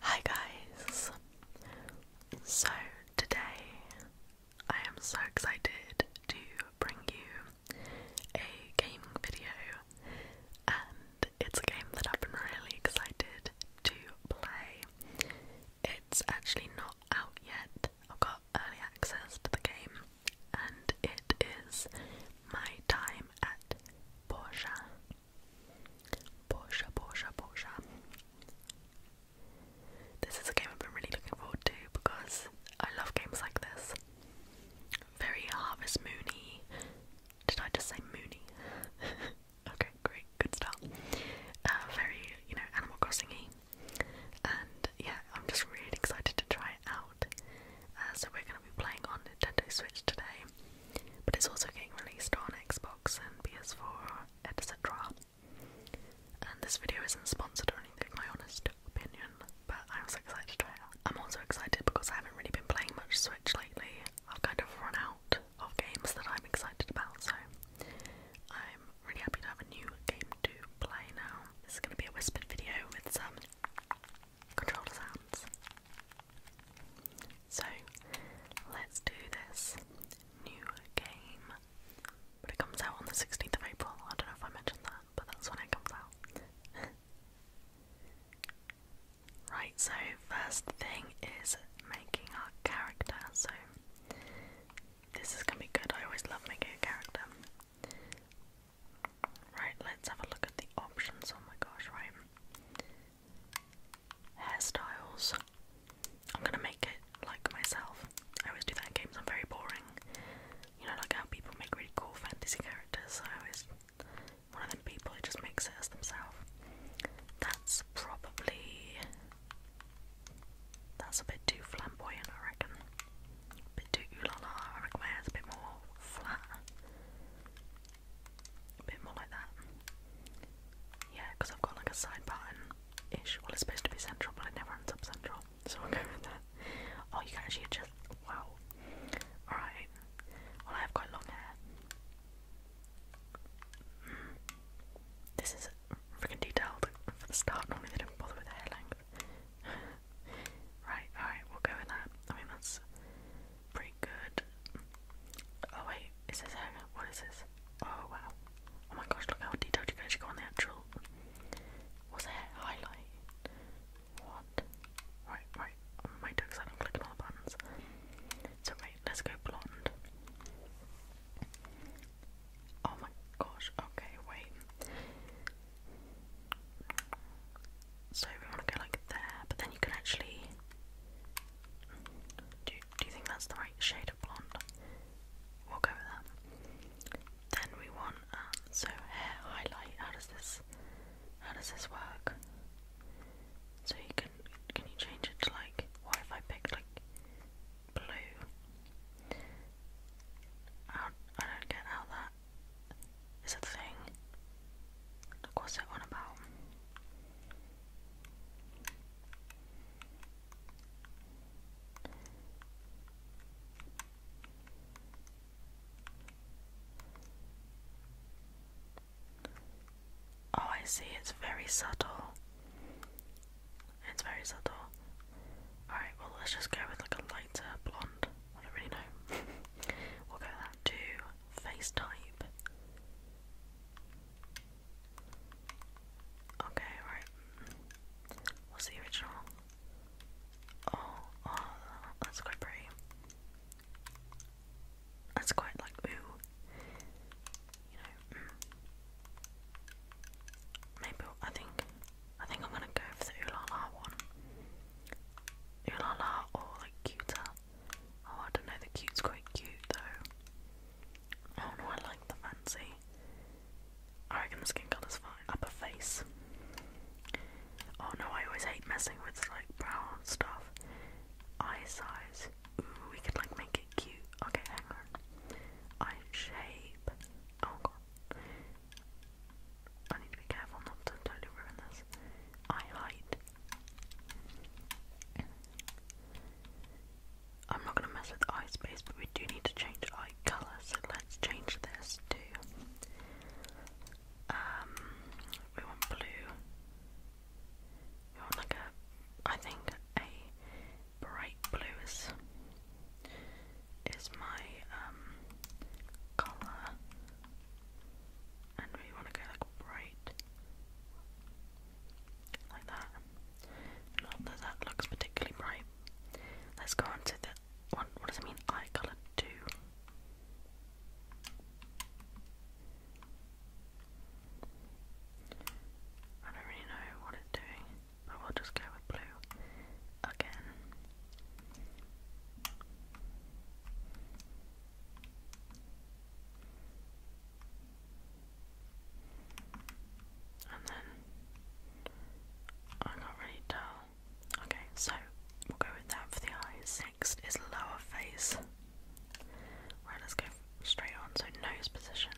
Hi guys! So today I am so excited to bring you a gaming video and it's a game that I've been really excited to play. It's actually not out yet. I've got early access to the game and it is My Time at Porsche. Porsche, Porsche, Porsche. This is a game I've been really looking forward to because I love games like this. Very Harvest Moony. Did I just say Moony? okay, great, good start. Uh, very, you know, Animal crossing And yeah, I'm just really excited to try it out. Uh, so we're going to be playing on Nintendo Switch today but it's also getting released on Xbox and PS4, etc. And this video isn't sponsored or anything, my honest opinion, but I'm so excited I'm also excited because I haven't really been playing much Switch lately. I've kind of run out of games that I'm excited about, so I'm really happy to have a new game to play now. This is going to be a whispered video with some controller sounds. So let's do this new game. But it comes out on the 16th of April. I don't know if I mentioned that, but that's when it comes out. right, so first thing is making our character. So this is gonna be good. I always love making a character. Right, let's have a look at the options. Oh my gosh, right hairstyles. I'm gonna make it like myself. I always do that in games, I'm very boring. You know, like how people make really cool fantasy characters, I always one of them people who just makes it themselves. That's probably that's a bit too flamboyant, I reckon. bit too ooh I reckon my a bit more flat. A bit more like that. Yeah, because I've got like a side button ish. Well, it's supposed to be central, but it never ends up central. So we'll go with that. Oh, you can actually adjust. Wow. Alright. Well, I have quite long hair. Mm. This is freaking detailed for the start. Normally they don't bother with hair length. right, alright, we'll go with that. I mean, that's pretty good. Oh wait, is this What is this? Oh wow! Oh my gosh! Look how detailed you can actually go on the actual. What's that highlight? What? Right, right. I might not click on the buttons. So right, let's go blonde. Oh my gosh! Okay, wait. So we want to go like there, but then you can actually. Do, do you think that's the right shade of blonde? We'll go with that. Then we want um, so hair highlight. How does this? How does this work? So you can can you change it to like? What if I picked like blue? I I don't get how that is a thing. Like what's it on about? Oh, I see, it's very subtle. It's very subtle. Alright, well, let's just go with like a lighter blonde. I don't really know. we'll go with that face type. Okay, right. What's the original? Oh, oh, that's quite pretty. That's quite like ooh, you know. Mm. Maybe I think I think I'm gonna go for the ooh one. Ooh or like cuter. Oh, I don't know, the cute's quite cute though. Oh no, I like the fancy. I reckon the skin colour's fine. Upper face. Oh no, I always hate messing with like brown stuff. Eye size. we could like make it cute. Okay, hang on. Eye shape. Oh god. I need to be careful not to totally ruin this. Eye height. I'm not going to mess with eye space, but we do need to change eye colour, so let's change this to. Um, we want blue. We want like a, I think a bright blue is is my um colour and we want to go like bright like that not that that looks particularly bright let's go on to the one what does it mean eye colour 2 I don't really know what it's doing but we'll just go with blue again and then I can't really tell. Okay, so we'll go with that for the eyes. Next is lower face. Right, let's go straight on. So nose position.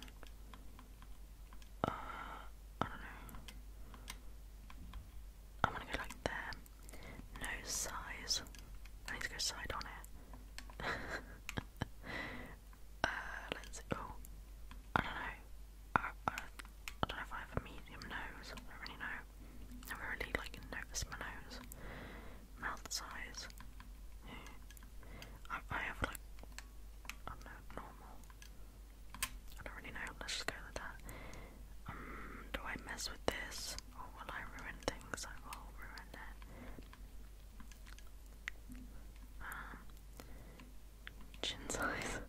Uh, I don't know. I'm to go like there. No size. I need to go side on it. uh, let's see. Oh, I don't know. I, don't know if I have a medium nose. I don't really know. I never really like notice my nose. Mouth size. I, I have like I don't normal. I don't really know. Let's just go with that. Um, do I mess with this? things, oh, will I ruin things? I will ruin it. Um, chin size,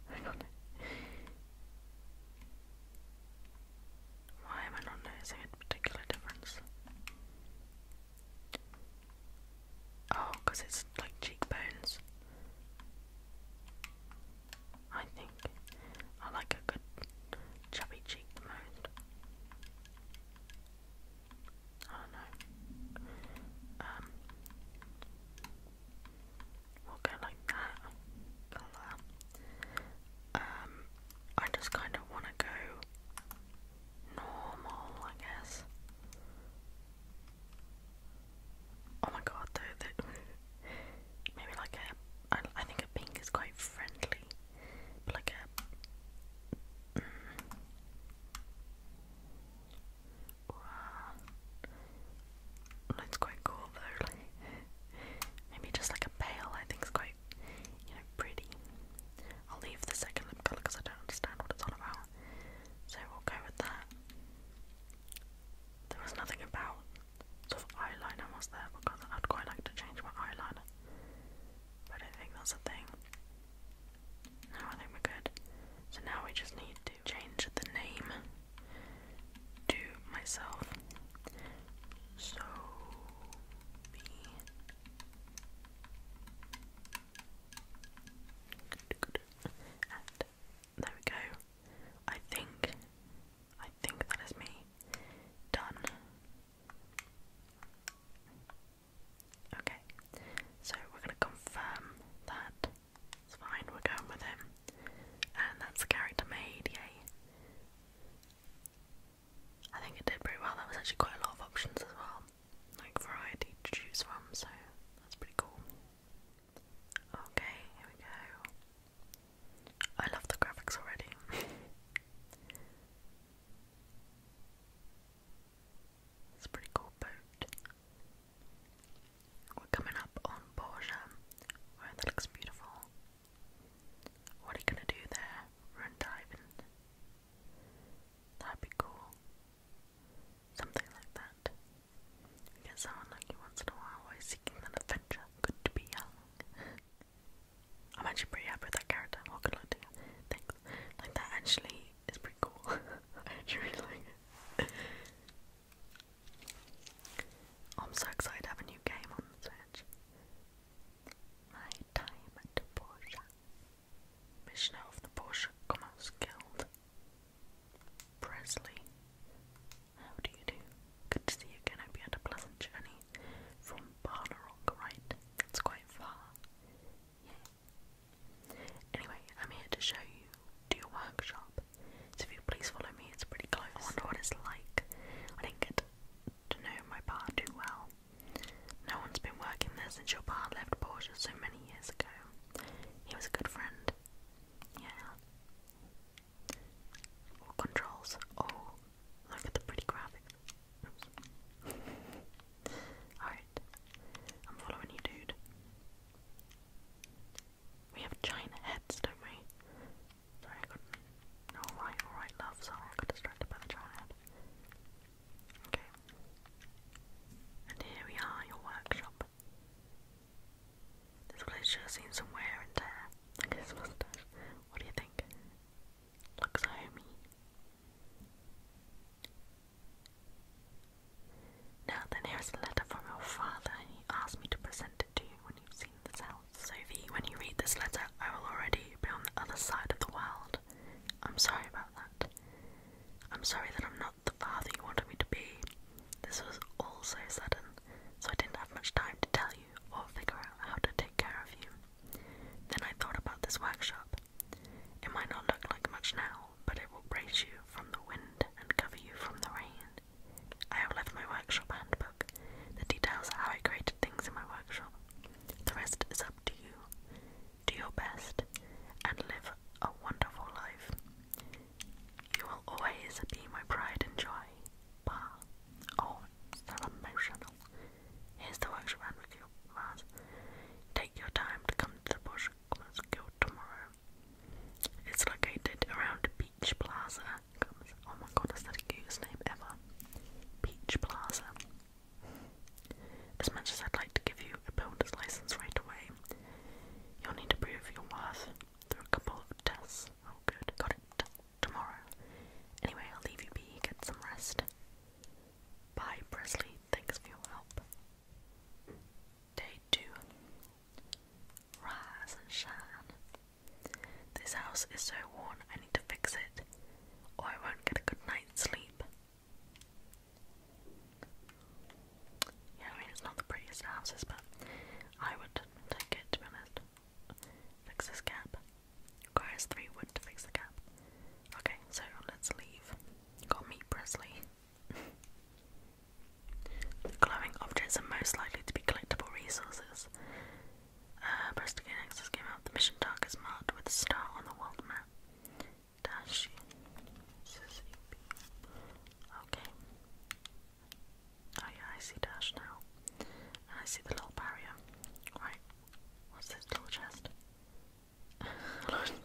Why am I not noticing a particular difference? Oh, because it's like cheekbones. I think. I like a good chubby cheekbone. I don't know. Um, we'll go like that. Go um, I just kind of want to go normal, I guess. Oh my god, though, the, Maybe like a, I, I think a pink is quite friendly, but like a, mm, well, quite cool though, maybe just like a pale I think is quite, you know, pretty. I'll leave the second lip colour because I don't understand what it's all about, so we'll go with that. There was nothing about sort of eyeliner was there because I'd quite like to change my eyeliner. But I don't think that's a thing. No, I think we're good. So now we just need to change the name to myself. So be and there we go. I think I think that is me. Done. Okay, so we're going to confirm that. It's fine, we're going with him. And that's the character made, yay. I think it did pretty well. That was actually quite a lot of options as well. Like variety to choose from, so that's pretty cool. Okay, here we go. I love the graphics already. it's a pretty cool boat. We're coming up on Borgia. Wow, that looks beautiful. What are you gonna do there? Run diving? That'd be cool. Something like that. You get so unlucky once in a while while seeking an adventure. Good to be young. I'm actually pretty happy with that character. Oh, Thanks. Like, that actually is pretty cool. I am so excited to have a new game on the Switch. My time at Porsche. Missioner of Porsche Commerce Guild. Presley. How do you do? Good to see you again. I you had a pleasant journey from Barnarong, right? It's quite far. Yeah. Anyway, I'm here to show you to your workshop. So if you please follow me, it's pretty close. I wonder what it's like. I didn't get to know my bar too well. No one's been working there since your bar left Portia so many years ago. He was a good friend. Yeah controls. Oh, look at the pretty graphics. Alright. I'm following you, dude. We have giant heads, don't we? Sorry, I got. Alright, alright, love. Sorry, I got distracted by the giant head. Okay. And here we are, your workshop. This place sure seems some wear and tear. his mustache. What do you think? Looks homey. Now then, here is a letter from your father. He asked me to present it to you when you've seen the house. Sophie, when you read this letter, I will already be on the other side of the world. I'm sorry about that. I'm sorry that I'm not the father you wanted me to be. This was all so sudden so I didn't have much time to tell you or figure out how to take care of you. Then I thought about this workshop. It might not look like much now, but it will brace you from the wind and cover you from the rain. I have left my workshop handbook that details how I created things in my workshop. The rest is up to you. Do your best and live a wonderful life. You will always be my pride and joy. Pa. Oh, it's emotional. Here's the works around with you, Take your time to come to the Bush Commerce tomorrow. It's located around Beach Plaza. oh my god, is that the cutest name ever? Beach Plaza. As much as I'd like to give you a builder's license right away, you'll need to prove your worth through a couple of tests. Oh, good. Got it. Tomorrow. Anyway, I'll leave you be. Get some rest. Bye, Presley. Thanks for your help. Day 2. Rise and shine. This house is so worn, I need to fix it, or I won't get a good night's sleep. Yeah, I mean, it's not the prettiest houses, but I would take it, to be honest. Fix this gap. Requires three wood to fix the gap. Okay, so let's leave. Got meat Presley. glowing objects are most likely to be collectible resources. Uh, press came out. The mission target is marked with a star on the world map. Dash. Okay. Oh yeah, I see Dash now. I see the little barrier. Right, what's this little chest?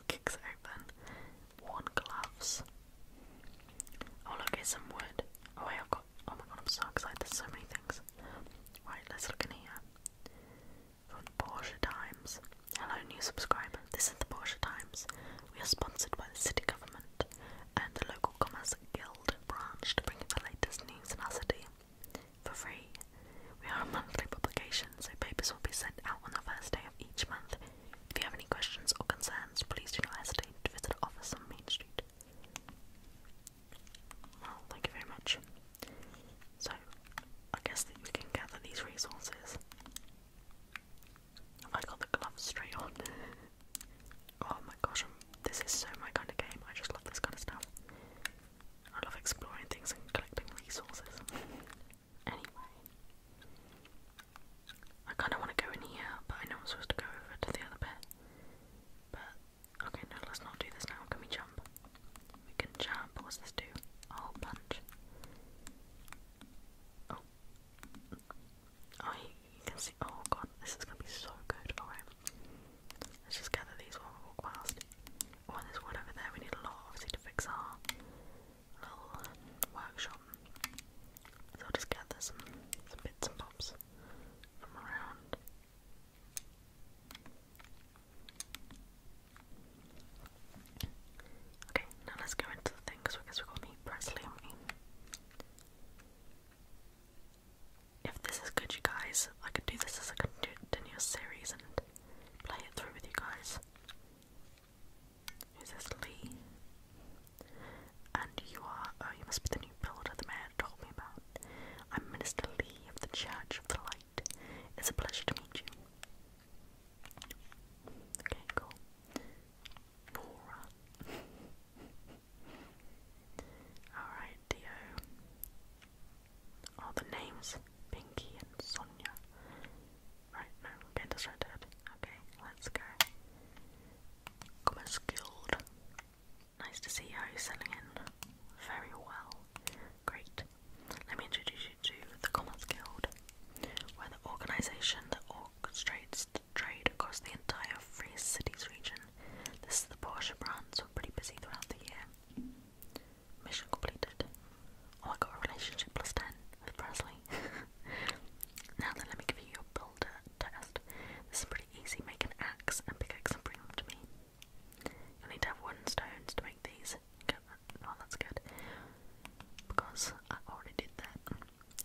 Kicks open. Worn gloves. Oh look, it's some wood. Oh wait, I've got. Oh my god, I'm so excited. so many things. Right, let's look in here. From the Porsche Times. Hello, new subscriber. This is the Porsche Times. We are sponsored by the city government and the local Commerce Guild branch to bring you the latest news in our city for free. We are a monthly publication, so papers will be sent out on the first day of each month. If you have any questions or concerns, please do not hesitate to visit our office on Main Street. Well, thank you very much. So, I guess we can gather these resources. I got the gloves straight on. oh my gosh, I'm, this is so my kind of game. I just love this kind of stuff. I love exploring things and collecting resources. anyway, I kind of want to go in here, but I know I'm supposed to go over to the other bit. But okay, no, let's not do this now. Can we jump? We can jump. What's this do? A whole bunch. Oh, oh, you can see Oh god, this is gonna be so good. Alright. Let's just gather these while we walk past. Oh, there's one over there. We need a lot, obviously, to fix our little workshop. So I'll just gather some, bits and bobs from around. Okay, now let's go into the thing because we've got meat press, haven't if this is good, you guys, I could do this as a continuous series and play it through with you guys. Who's this? Lee? And you are, oh, you must be the new builder the mayor told me about. I'm Minister Lee of the Church of the Light. It's a pleasure to meet you. Okay, cool. Bora. Alright, Dio. Oh, the names Pinky and Sonia. Right, no, get this right dead. Okay, let's go. Commerce Guild. Nice to see how you're selling in. Very well. Great. Let me introduce you to the Commerce Guild. we the organisation that orchestrates trade across the entire Free Cities region. This is the Porsche brand, so we're pretty busy throughout the year. Mission completed. Oh, I got a relationship plus 10 with Presley. now then, let me give you your builder test. This is pretty easy. Make an axe and pickaxe and bring them to me. You'll need to have wooden stones to make these. oh, that's good. Because I already did that.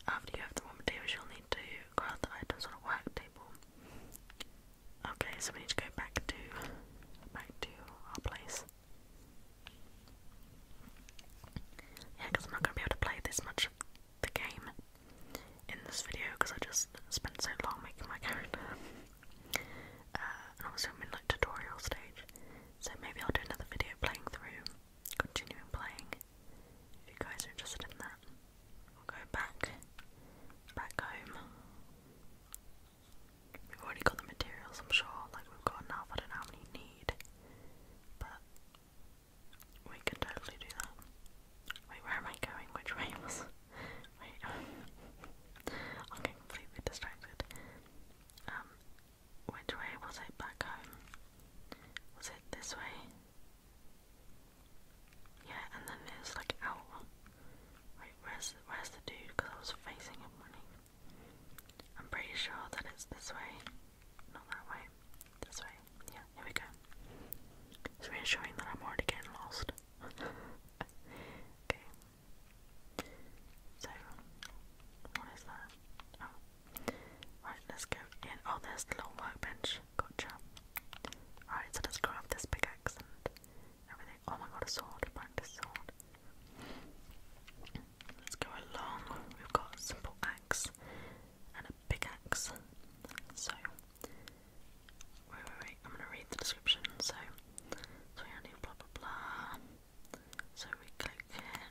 After you have the warm you'll need to craft the items on a work Okay, so we need to go back to back to our place. Yeah, because I'm not going to be able to play this much of the game in this video because I just spent so long making my character. Uh, and I'm in like tutorial stage, so maybe I'll do another video playing through continuing playing if you guys are interested in that. We'll go back, back home. We've already got the materials, I'm sure. Like, we've got enough. I don't know how many need. But we can totally do that. Wait, where am I going? Which way was. Wait. I'm getting completely distracted. Um, which way was it back home? Was it this way? Yeah, and then it's like out. Wait, where's where's the dude? Because I was facing him running. I'm pretty sure that it's this way. Not that way. This way. Yeah, here we go. It's reassuring that I'm already getting lost. okay. So, what is that? Oh, Right, let's go in. Oh, there's the little workbench. Gotcha. Alright, so let's grab this pickaxe and everything. Oh my god, a sword. Practice sword. Let's go along. We've got a simple axe and a pickaxe. So, wait, wait, wait. I'm gonna read the description. So, so we only blah blah blah. So we click here.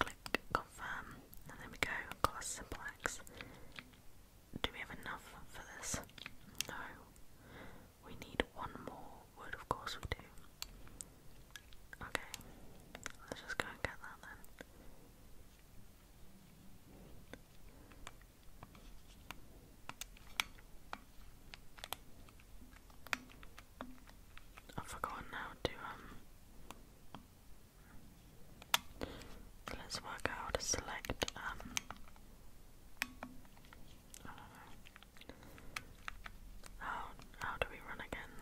Click confirm, there we go. Class simple Do we have enough for this? No. We need one more word, of course we do. Okay, let's just go and get that then. I've forgotten how to um, let's work out how to select um uh, How how do we run again?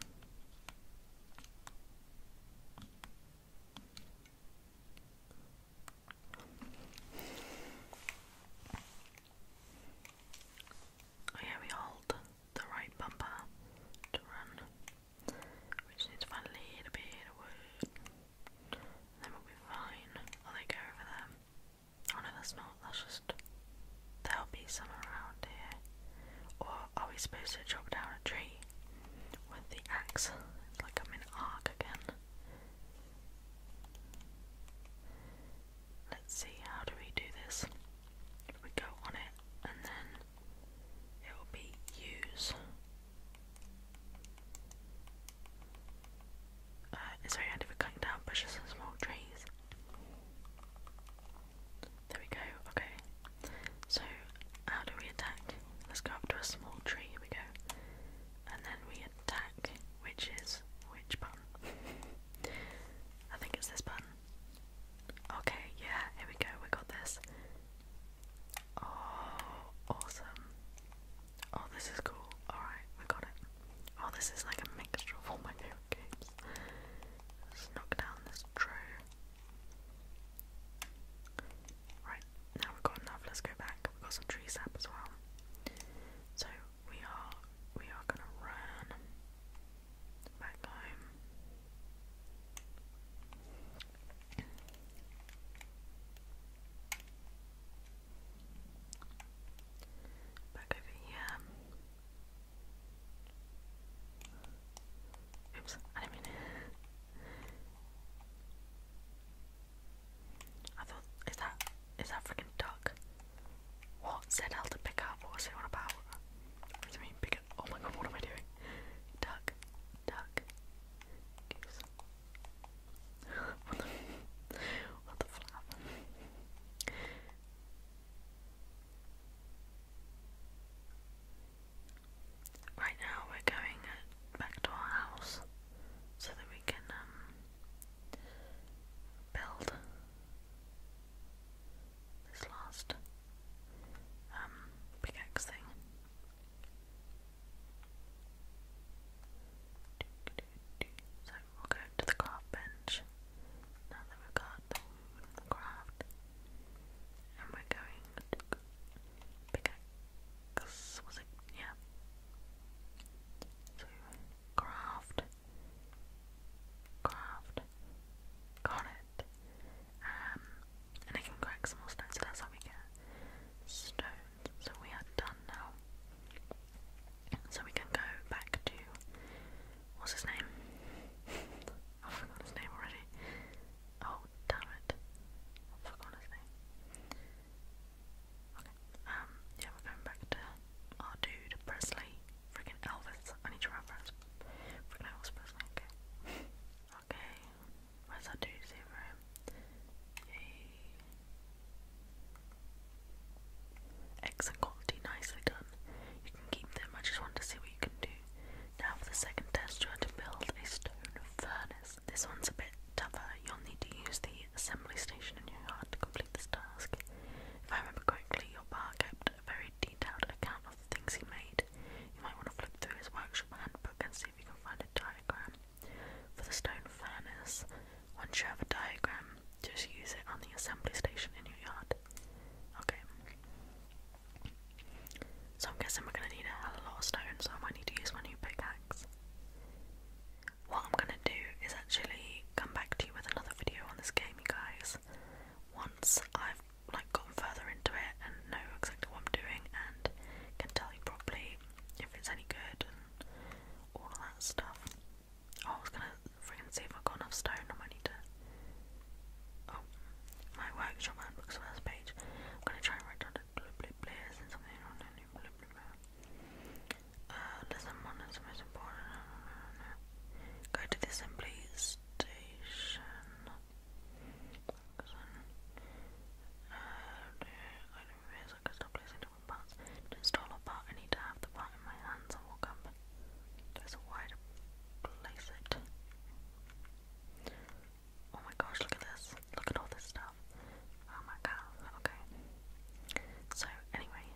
Oh we hold the right bumper to run, which needs to find a little bit of wood. Then we'll be fine. Oh, they go over there. Oh no, that's not. That's just. There'll be some around here. Or are we supposed to chop down a tree? with the axe. It's like I'm in arc again. Let's see, how do we do this? we go on it and then it will be use. Uh, it's very handy for cutting down bushes and small trees. There we go, okay. So how do we attack? Let's go up to a small tree, here we go. And then we attack, which is which button? I think it's this button. Okay, yeah, here we go, we got this. Oh, awesome. Oh, this is cool. Alright, we got it. Oh, this is like a mixture of all my favourite games. knock down this tree. Right, now we've got enough, let's go back. We've got some tree sap as well. So we are we are gonna run back home. Back over here. Oops, I mean I thought, is that, is that freaking duck? What? Said L to pick up, what was it on about? What does it mean pick up? Oh my god, what am I doing? Duck, duck, what the, what Right now we're going back to our house so that we can um, build this last um, pickaxe thing. So we'll go to the craft bench now that we've got the wooden craft, and we're going pickaxe was it? Yeah. So craft, craft, got it. Um, and I can crack some more stones. So that's how we get stones. So we are done now. So we can go back to what's his name? I forgot oh his name already. Oh, damn it. I forgot his name. Okay, um, yeah, we're going back to our dude, Presley. Freaking Elvis. I need to reference freaking Elvis Presley, okay. okay, where's that dude's over him? Excellent quality, nicely done. You can keep them, I just wanted to see what you can do now for the second test, you are to build a stone furnace. This one's a bit tougher. You'll need to use the assembly station in your yard to complete this task. If I remember correctly, your bar kept a very detailed account of the things he made. You might want to flip through his workshop handbook and see if you can find a diagram. For the stone furnace, once you have a diagram, just use it on the assembly station in your yard. Okay. So I'm guessing we're gonna need a lot of stone, so I might need to use my new pickaxe. What I'm gonna do is actually come back to you with another video on this game, you guys. Once I've like gone further into it and know exactly what I'm doing and can tell you properly if it's any good and all that stuff. Oh, I was gonna freaking see if I've got enough stone. I might need to oh, my workshop and books first page. I'm gonna try and write down the blue blue players and something on the new blue blue player. Uh, lesson one is the most important. No, no, no, no. Go to the assembly station. Uh, I don't realize I could stop placing different parts. To install a part, I need to have the part in my hands and walk up. There's a wide place it. Oh my gosh, look at this. Look at all this stuff. Oh my god, okay. So, anyway,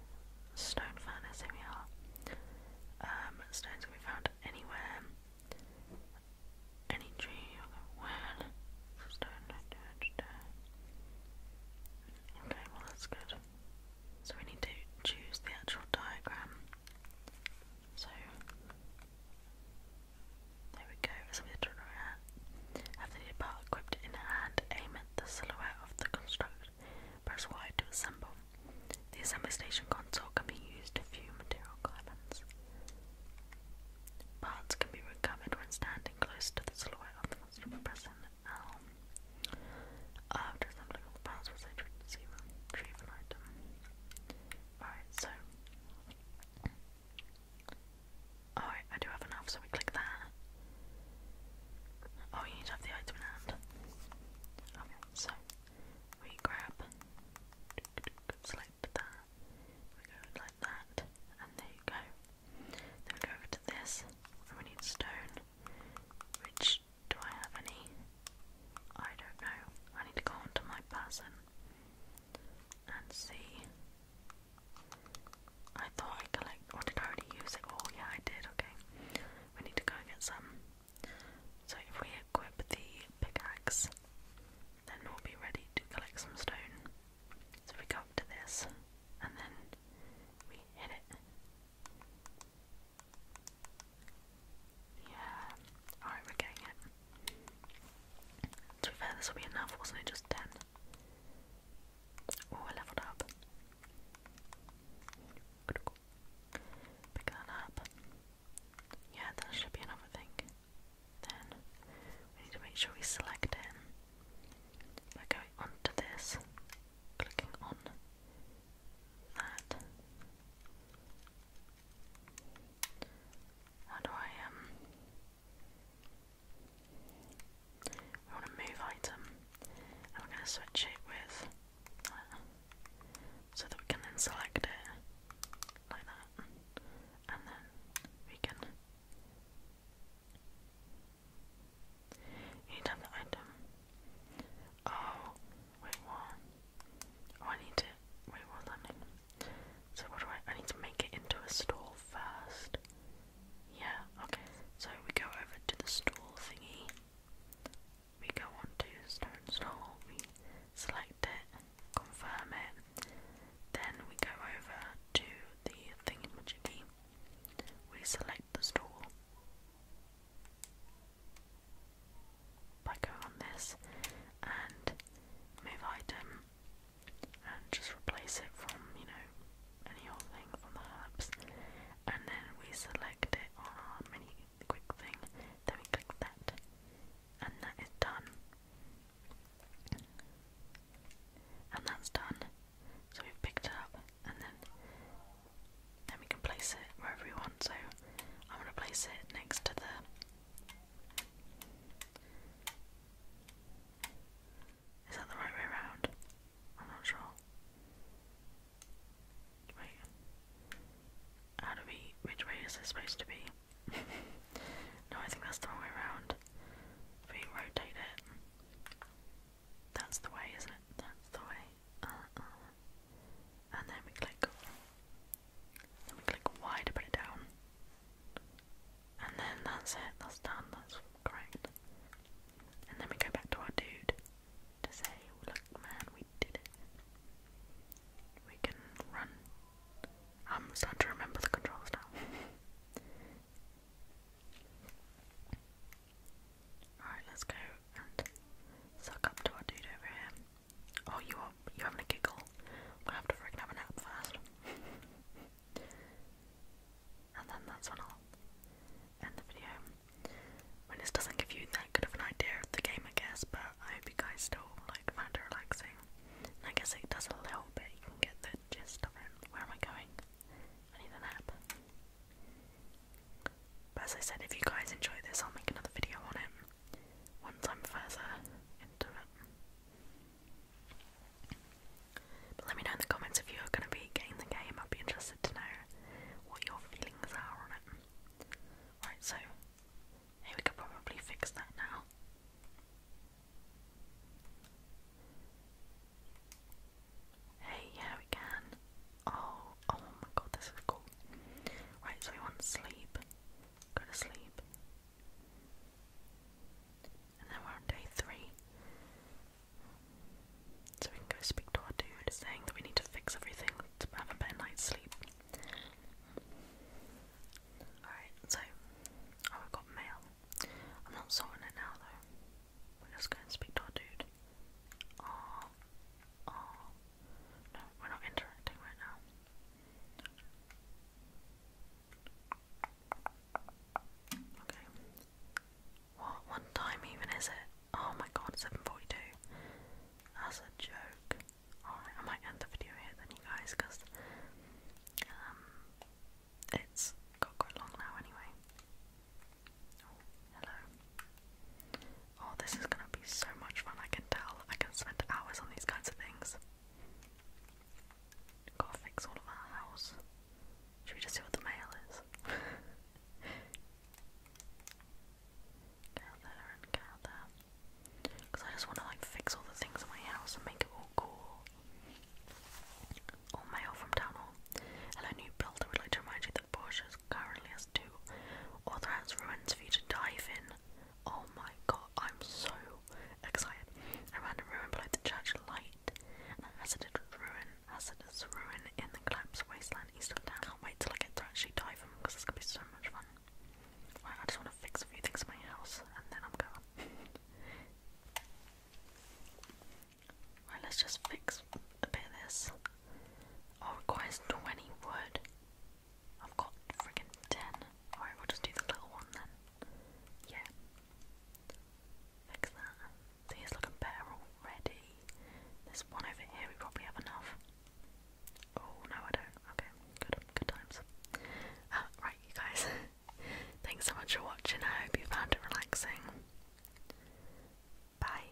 stone furnace, here um, stones can be found anywhere. Any tree, where? Stone, Okay, well, that's good. So, we need to choose the actual diagram. So, there we go, as we turn around. After the equipped in hand, aim the silhouette of the construct. Press Y to assemble. The assembly station console can be used to view material components. Parts can be recovered when standing close to the silhouette of the construct by pressing L. After assembling all the parts, we'll retrieve an item. Alright, so. Alright, I do have enough, so we click that. Oh, you have the item in hand. Okay, so we grab, select that, we go like that, and there you go. Then we go over to this, and we need stone. Which do I have any? I don't know. I need to go onto my person and see. I thought I collect. Or did already use it? Oh, yeah, I did. Okay. We need to go get some. So, if we equip the pickaxe, then we'll be ready to collect some stone. So, we go up to this and then we hit it. Yeah. Alright, we're getting it. To be fair, this will be enough, wasn't it? Just 10. Oh, I leveled up. Pick that up. Yeah, that should be enough, I Then we need to make sure we select it. By going onto this, clicking on that, how do I, um... We want to move item, and we're going to switch it with so that we can then select it, like that, and then we can... You need the item. Oh, wait, what? Oh, I need to. Wait, what does So, what do I. I need to make it into a stall first. Yeah, okay. So, we go over to the stall thingy. We go on stone stall. We select it, confirm it. Then we go over to the thingy majiggy. We select the stall black out on this and move item and just replace it from, you know, any old thing from the herbs. And then we select it on our mini quick thing, then we click that, and that is done. And that's done. So we've picked it up and then then we can place it wherever we want. So I'm gonna place it next to the is that the right way around? I'm not sure. Wait. How do we. Which way is this supposed to be? no, I think that's the wrong way around. we rotate it. That's the way, isn't it? That's the way. Uh-uh. And then we click. Then we click Y to put it down. And then that's it, that's done, that's correct. And then we go back to our dude to say, look man, we did it. We can run. I'm starting to remember the controls now. Alright, let's go and suck up to our dude over here. Oh, you are you having a giggle? I have to freaking have a nap first. and then that's when I'll end the video. When this doesn't give you that good of an idea of the game, I guess, but I hope you guys still like find it relaxing. I guess it does a little bit. You can get the gist of it. Where am I going? I need a nap. But as I said, if you guys enjoy this, I'll make another video on it once I'm further into it. let me know in the comments if you're going to be getting the game. I'd be interested to know what your feelings are on it. Right, so hey, we could probably fix that now. Hey, yeah, we can. Oh, oh my god, this is cool. Right, so we want sleep go to sleep. And then we're on day three. So we can go speak to our dude saying that we need to fix everything to have a better night's sleep. Alright, so oh we got mail. I'm not sorting it now though. We're just going to speak to our dude. Oh, Oh, no, we're not interacting right now. Okay. What one time even is it? Oh my god, 742. That's a joke. Alright, I might end the video here then you guys because um it's got quite long now anyway. Oh, hello. Oh, this is gonna be so much fun, I can tell. I can spend hours on these kinds of things. Gotta fix all of our house. Should we just see what the mail is? go there and go there. Because I just want to like fix all the things in my house and make it all cool. All mail from town hall. Hello, new builder. would like to remind you that currently has two, or that's ruins for you to dive in. Oh my god, I'm so excited. A random ruin below the church light, hazardous ruin, hazardous ruin in the collapsed wasteland east of town. Can't wait till I get to actually dive in because it's gonna be so much fun. Right, I just want to fix a few things in my house and then I'm going. right, let's just fix a bit of this. Oh, requires 20 wood. I've got friggin' ten. Alright, we'll just do the little one then. Yeah. Fix that. See, it's better already. This one over here, we probably have enough. Oh, no, I don't. Okay, good, good times. Uh, right, you guys. Thanks so much for watching. I hope you found it relaxing. Bye.